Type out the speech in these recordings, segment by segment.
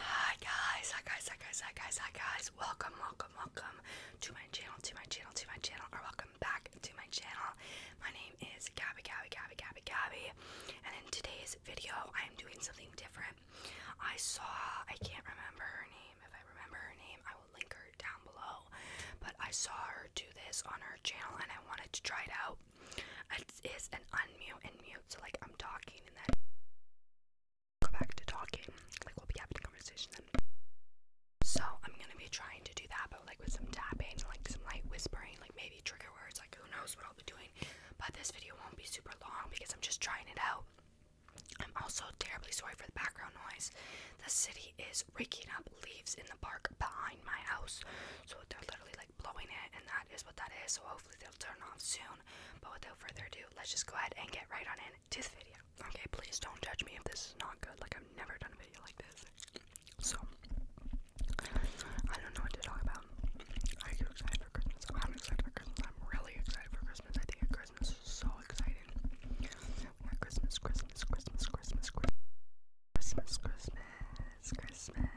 Hi guys, hi guys, hi guys, hi guys, hi guys. Welcome, welcome, welcome to my channel, to my channel, to my channel, or welcome back to my channel. My name is Gabby, Gabby, Gabby, Gabby, Gabby. And in today's video, I am doing something different. I saw, I can't remember her name. If I remember her name, I will link her down below. But I saw her do this on her channel and I wanted to try it out. It is an unmute and mute, so like I'm talking and then go back to talking. Like we'll be having a So I'm gonna be trying to do that, but like with some tapping, like some light whispering, like maybe trigger words. Like who knows what I'll be doing. But this video won't be super long because I'm just trying it out. I'm also terribly sorry for the background noise. The city is raking up leaves in the park behind my house, so they're literally like blowing it, and that is what that is. So hopefully hopefully they'll turn off soon. But without further ado, let's just go ahead and get right on in to the video. Okay, please don't judge me if this is not good. Like, I've never done a video like this. So, I don't know what to talk about. Are you excited for Christmas? I'm excited for Christmas. I'm really excited for Christmas. I think Christmas is so exciting. We Christmas, Christmas, Christmas, Christmas, Christmas, Christmas, Christmas, Christmas.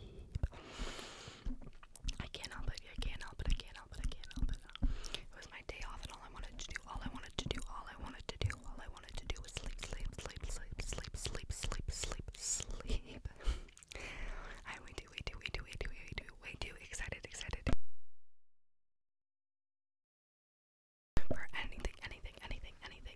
sleep. I can't help it. I can't help it. I can't help it. I can't help it. It was my day off, and all I wanted to do, all I wanted to do, all I wanted to do, all I wanted to do was sleep, sleep, sleep, sleep, sleep, sleep, sleep, sleep, sleep. I'm way too, way too, way too, way too, way too, way too excited, excited for anything, anything, anything, anything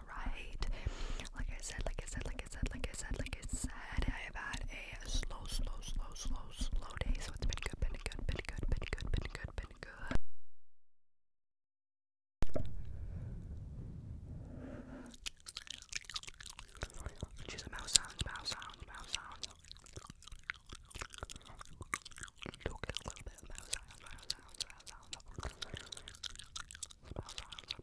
alright? Like I said, like I said, like I said, like I said, like I said, I have had a slow, slow, slow, slow, slow day, so it's been good, been good, been good, been good, been good, been good. She's mouse sound, mouse sound, mouse sound. do a little bit mouse sound, mouse sound, mouse sound,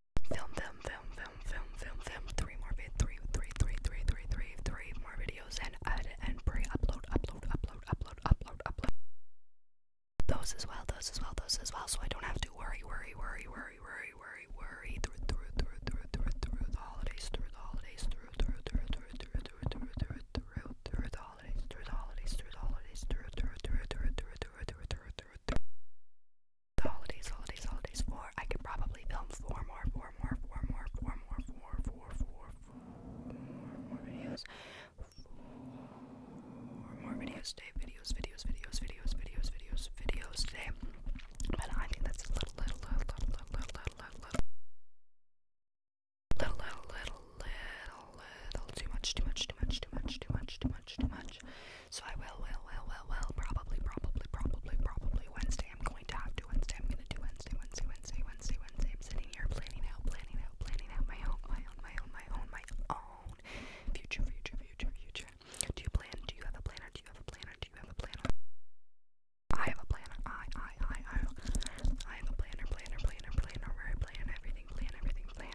Film, film, film, film, film, film, film. Three more vid, three, three, three, three, three, three, three more videos, and add and pre-upload, upload, upload, upload, upload, upload. Those as well, those as well, those as well. So I don't have to worry, worry, worry, worry, worry, worry, worry through, through, through, through, through, through the holidays, through the holidays, through, through, through, through, through, through, through, through, through, through the holidays, through the holidays, through the holidays, through, through, through, through, through, through, through, through, through through, the holidays, holidays, holidays, or I could probably film four more, four more, four more, four more, four, four, four, four more videos, four more videos today, videos, videos, videos, videos, videos, videos, videos today. But I think that's a little, little, little, little, little, little, little, little, little, little, little, little uh, too much, too much, too much, too much, too much, too much, too much. So I will, will, will, will, will, probably, probably, probably, probably Wednesday. I'm going to have to Wednesday. I'm gonna do Wednesday, Wednesday, Wednesday, Wednesday, Wednesday. I'm sitting here planning out, planning out, planning out my own, my own, my own, my own, my own future, future, future, future. Do you plan? Do you have a planner? Do you have a planner? Do you have a planner? I have a planner. I, I, I, I. I have a planner, planner, planner, planner. Where I plan everything, plan everything, plan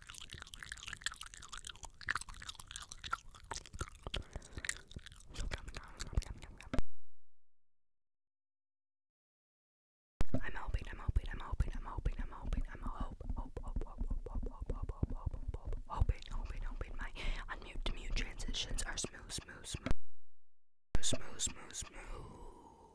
I'm hoping, I'm hoping, I'm hoping, I'm hoping, I'm hoping, I'm hope, hope, hope, hope, hope, hope, hope, hope, hope, hope, hope, hoping, hoping, hoping my unmute to mute transitions are smooth, smooth, smooth, smooth, smooth, smooth, smooth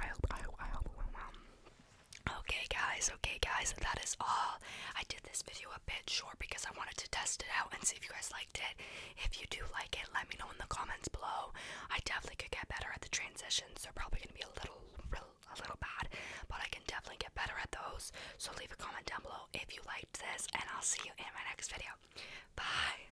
I Okay, guys, okay, guys, that is all. I did this video a bit short because I wanted to test it out and see if you guys liked it. If you do like it, let me know in the comments below. I definitely could get better at the transitions. so probably going to be a little, a little bad, but I can definitely get better at those. So leave a comment down below if you liked this, and I'll see you in my next video. Bye.